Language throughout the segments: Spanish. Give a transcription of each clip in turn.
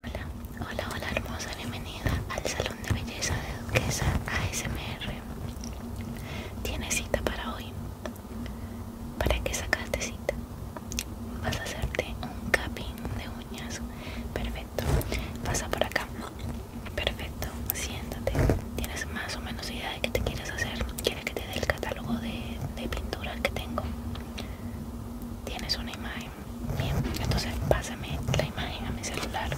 Hola, hola, hola hermosa, bienvenida al Salón de Belleza de Duquesa ASMR. ¿Tienes cita para hoy? ¿Para qué sacaste cita? Vas a hacerte un capín de uñas. Perfecto. Pasa por acá. Perfecto. Siéntate. ¿Tienes más o menos idea de qué te quieres hacer? ¿Quieres que te dé el catálogo de pinturas que tengo? ¿Tienes una imagen? bien entonces pásame la imagen a mi celular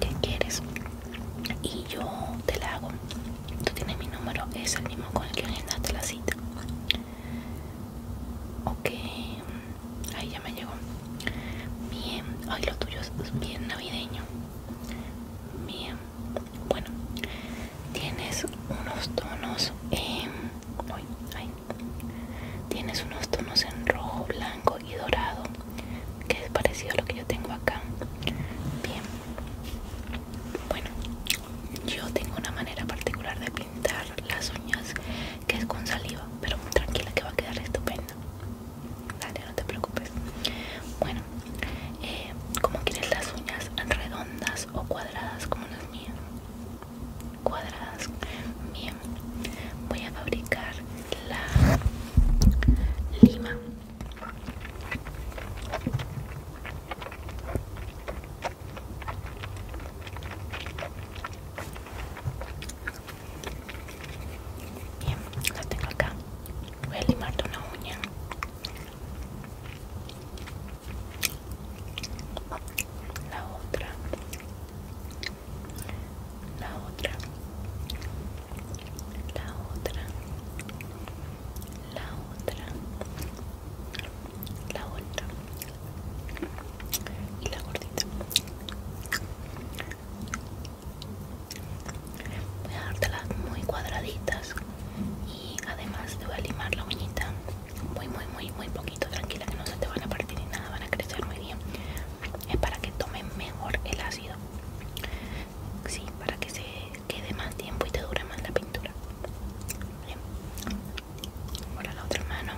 que quieres y yo te la hago tú tienes mi número es el mismo con el que agendaste la cita ok ahí ya me llegó bien ay lo tuyo es bien navideño bien bueno tienes unos tonos Tienes unos tonos en rojo, blanco y dorado, que es parecido a lo que yo tengo acá. Bien. Bueno, yo tengo una manera particular de pintar las uñas que es con saliva, pero tranquila que va a quedar estupenda. Dale, no te preocupes. Bueno, eh, Como quieres las uñas? ¿Redondas o cuadradas como las mías? cuadradas bien voy a fabricar la lima Bien, la tengo acá. Voy a limarte una uña. La otra la otra la otra la otra la otra y la gordita voy a dártelas muy cuadraditas y además te voy a limar la uñita muy muy muy muy poquito tranquila que no se te van a partir ni nada van a crecer muy bien es para que tomen mejor el ácido sí para que se quede más tiempo y te dure más la pintura ahora la otra mano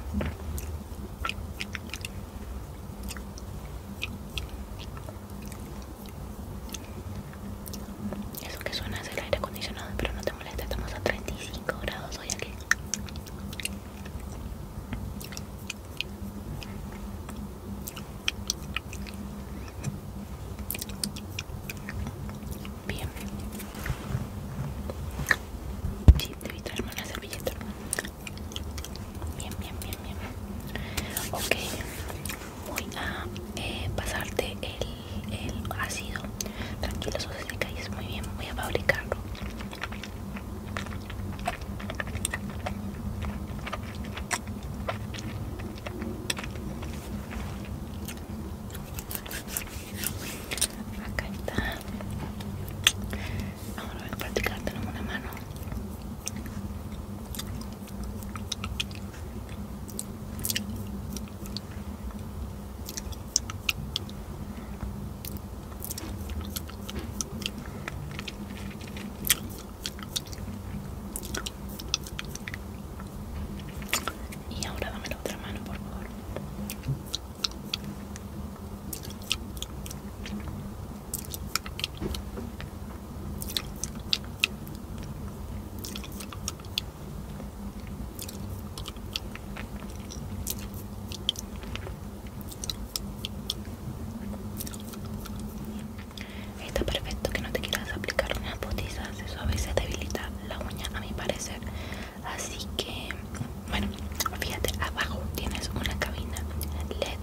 eso que suena es el aire acondicionado, pero no te molesta, estamos a 35 grados hoy aquí. Bien. Sí, a traer una servilleta. Bien, bien, bien, bien. Ok. Voy a eh, pasarte el, el ácido. Tranquilo, eso se seca muy bien. Voy a fabricarlo. Acá está. Ahora voy a practicar tenemos una mano. Y ahora dame la otra mano, por favor. Está perfecto que no te quieras aplicar unas botizas eso a veces debilita la uña a mi parecer. Así que, bueno, fíjate, abajo tienes una cabina LED.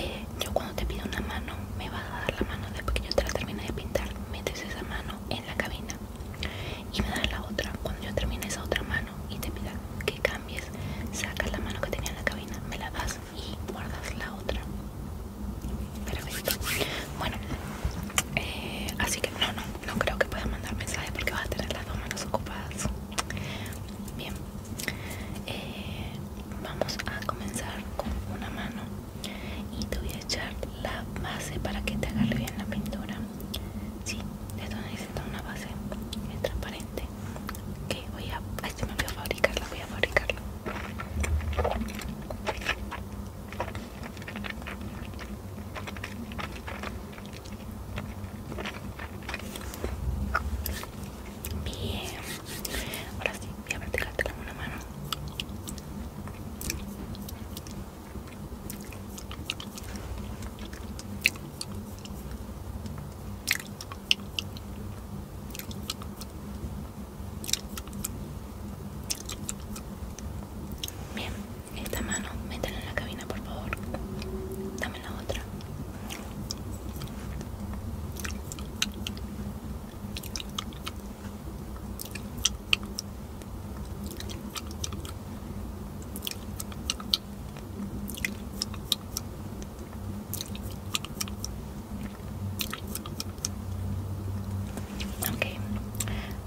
Eh, yo cuando te pido una mano, me vas a dar la mano después que yo te la termine de pintar, metes esa mano en la cabina y me das la otra. Cuando yo termine esa otra mano y te pida que cambies, sacas la mano que tenía en la cabina, me la das y guardas la otra. Perfecto. Bueno, eh, así que no, no, no creo que puedas mandar mensajes porque vas a tener las dos manos ocupadas. Bien, eh, vamos a comenzar con una mano y te voy a echar la base para que te agarre bien la pintura. Sí, esto necesito una base transparente que voy a... este me voy a fabricarla, voy a fabricarla. Bien, ahora sí, voy a practicártela con una mano. Bien, esta mano, métela en la cabina, por favor. Dame la otra. Ok,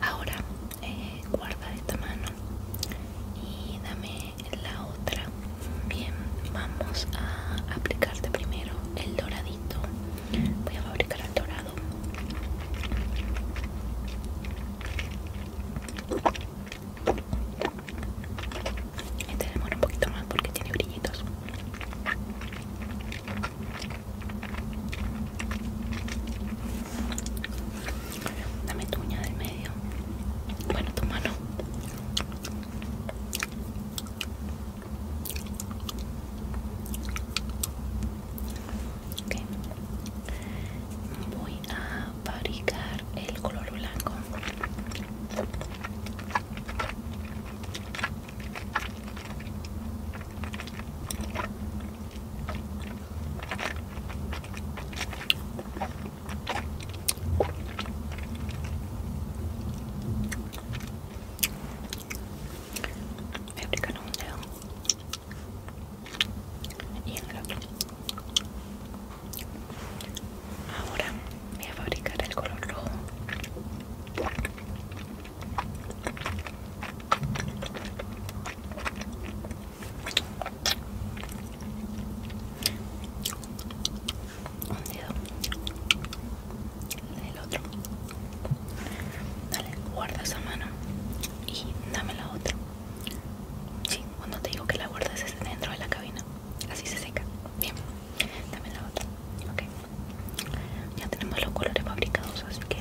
ahora eh, guarda esta mano y dame la otra. Bien, vamos a aplicarte primero el doradito. Voy a fabricar el dorado. Este demora un poquito más porque tiene brillitos. Dame tu uña del medio. Bueno, tu mano. Okay a fabricar el color blanco me aplican un dedo y en el otro Ahora voy a fabricar el color rojo. Un dedo el otro dale guarda esa mano y dame la otra Sí, cuando te digo que la guardas es dentro de la cabina. Así se seca. Bien, también la otra. Ok. Ya tenemos los colores fabricados, así que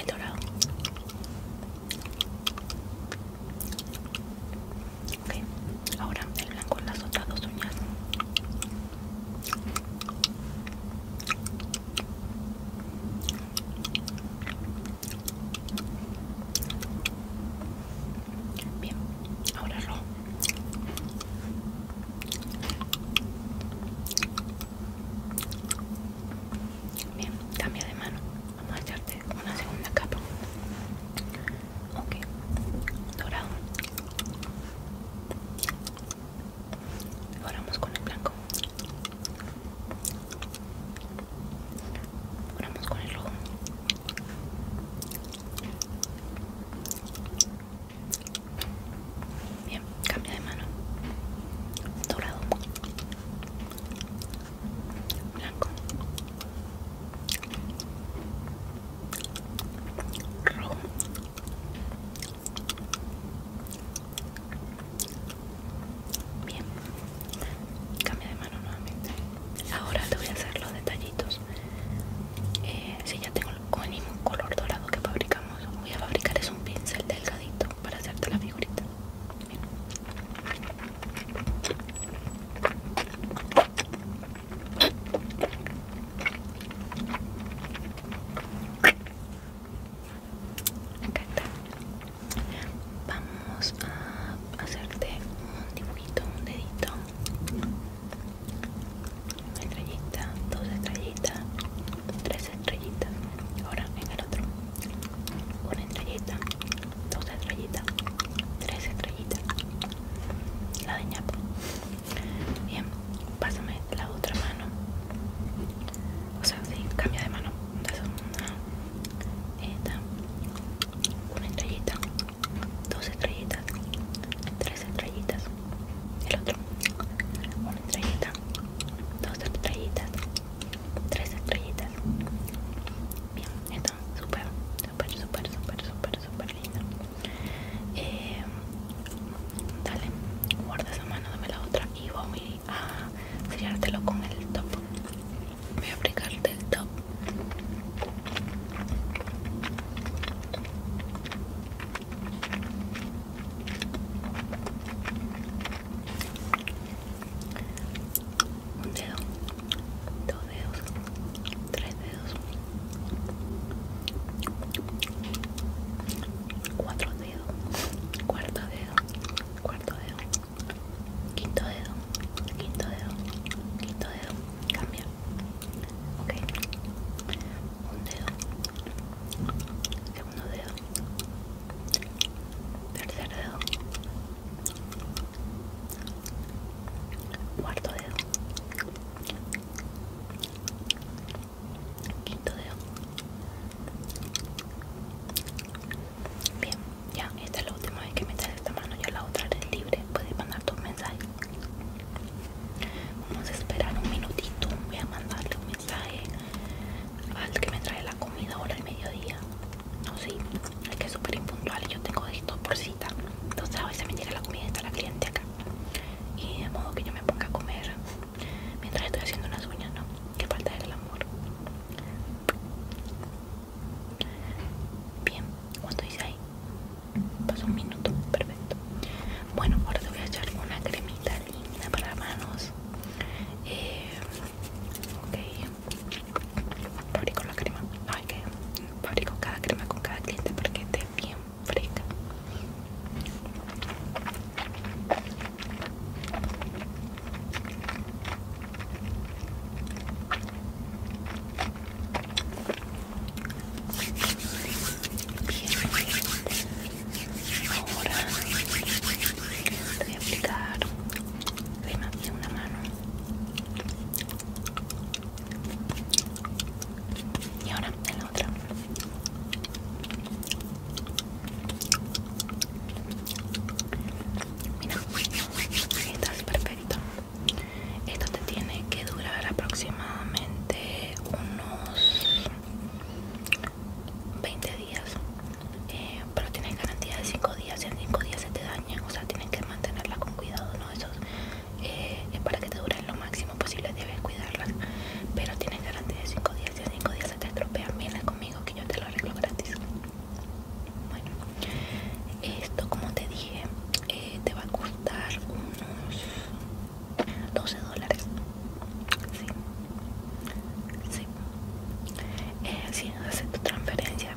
el dorado. Ok, ahora el blanco en las otras dos uñas. Bien, ahora rojo. Bien, cambia de mano. Vamos a echarte una segunda capa. Ok, dorado. Ahora vamos con el blanco con el rojo. Bien, cambia de mano. Dorado. Blanco. Rojo. Bien, Cambia de mano nuevamente. Ahora te voy a hacer los detallitos. Eh, si ya tengo el mismo color dorado que fabricamos, voy a fabricar es un pincel delgadito para hacerte la figurita. Acá está. Vamos a hacerte un dibujito, un dedito, una estrellita, dos estrellitas, tres estrellitas. Ahora en el otro, una estrellita, dos estrellitas, tres estrellitas. La de ñapo. Bien, pásame la otra mano. O sea, sí, cambia de mano. una, esta, una estrellita, dos estrellitas, tres estrellitas, el otro, una estrellita, dos estrellitas, tres estrellitas. Bien, está súper, súper, súper, súper, súper, súper linda. Eh, dale, guarda esa mano, dame la otra y voy a sellártelo con el top voy a aplicarte el top un dedo, dos dedos, tres dedos, cuatro dedos, cuarto dedo, cuarto dedo, Quinto dedo, quinto dedo, quinto dedo, cambia. Ok. Un dedo. Segundo dedo. Tercer dedo. Cuarto dedo. Quinto dedo. Bien. Ya, esta es la última vez que me esta mano, ya la otra es libre, puedes mandar tus mensajes. Vamos a esperar un minutito, voy a mandarle un mensaje al que me trae la comida ahora al mediodía. No, sé es que es súper impuntual, yo tengo esto por cita. Entonces a veces me llega la comida y está la cliente acá. Y de modo que yo me ponga a comer mientras estoy haciendo unas uñas, ¿no? Que falta del amor. Bien, ¿cuánto dice ahí? Pasó un minuto, perfecto. Bueno, ahora te voy a echar una cremita linda para las manos. Eh, ok, fabrico la crema. hay que fabrico cada crema con cada cliente para que esté bien fresca. Ahora voy a aplicar una mano y ahora en la otra. Mira, estás perfecto. Esto te tiene que durar aproximadamente unos 20 días, eh, pero tienes garantía de 5 días. si en 5 días se te daña, o sea, tienes que mantenerla con cuidado. ¿no? Eso es eh, para que te dure lo máximo posible, debes cuidarlas. Pero tienes garantía de 5 días. si en 5 días se te estropean. Vienes conmigo que yo te lo arreglo gratis. Bueno, esto como te dije eh, te va a costar unos 12 dólares. Sí, sí. Eh, si haces tu transferencia,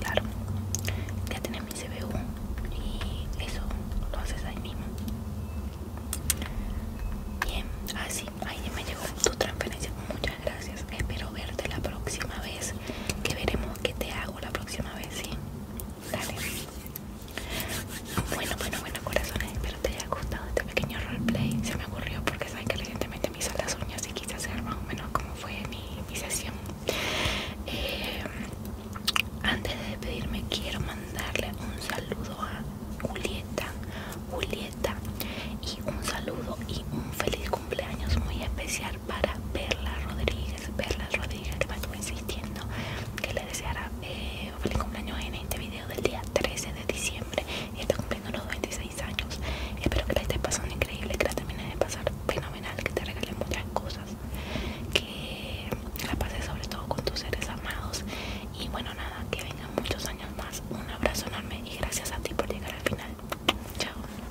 claro, ya tenés mi CBU y eso lo haces ahí mismo. Bien, así, ahí ahí me llegó tu transferencia. Muchas gracias. Espero verte la próxima vez que veremos qué te hago la próxima vez, ¿sí? Dale. Bueno, bueno, bueno, corazones, espero te haya gustado este pequeño roleplay. Se me ocurrió porque sabes que recientemente me hizo las uñas y quise hacer más o menos como fue mi, mi sesión. Eh, antes de despedirme, quiero mandarle un saludo a Julieta, Julieta, y un saludo y un feliz cumpleaños cumpleaños muy especial para Perla Rodríguez. Perla Rodríguez que me estuvo insistiendo que le deseara un eh, feliz cumpleaños en este video del día 13 de diciembre. Y está cumpliendo los 26 años. Espero que la estés pasando increíble, que la termines de pasar fenomenal, que te regalen muchas cosas, que la pases sobre todo con tus seres amados. Y bueno, nada, que vengan muchos años más. Un abrazo enorme y gracias a ti por llegar al final. Chao.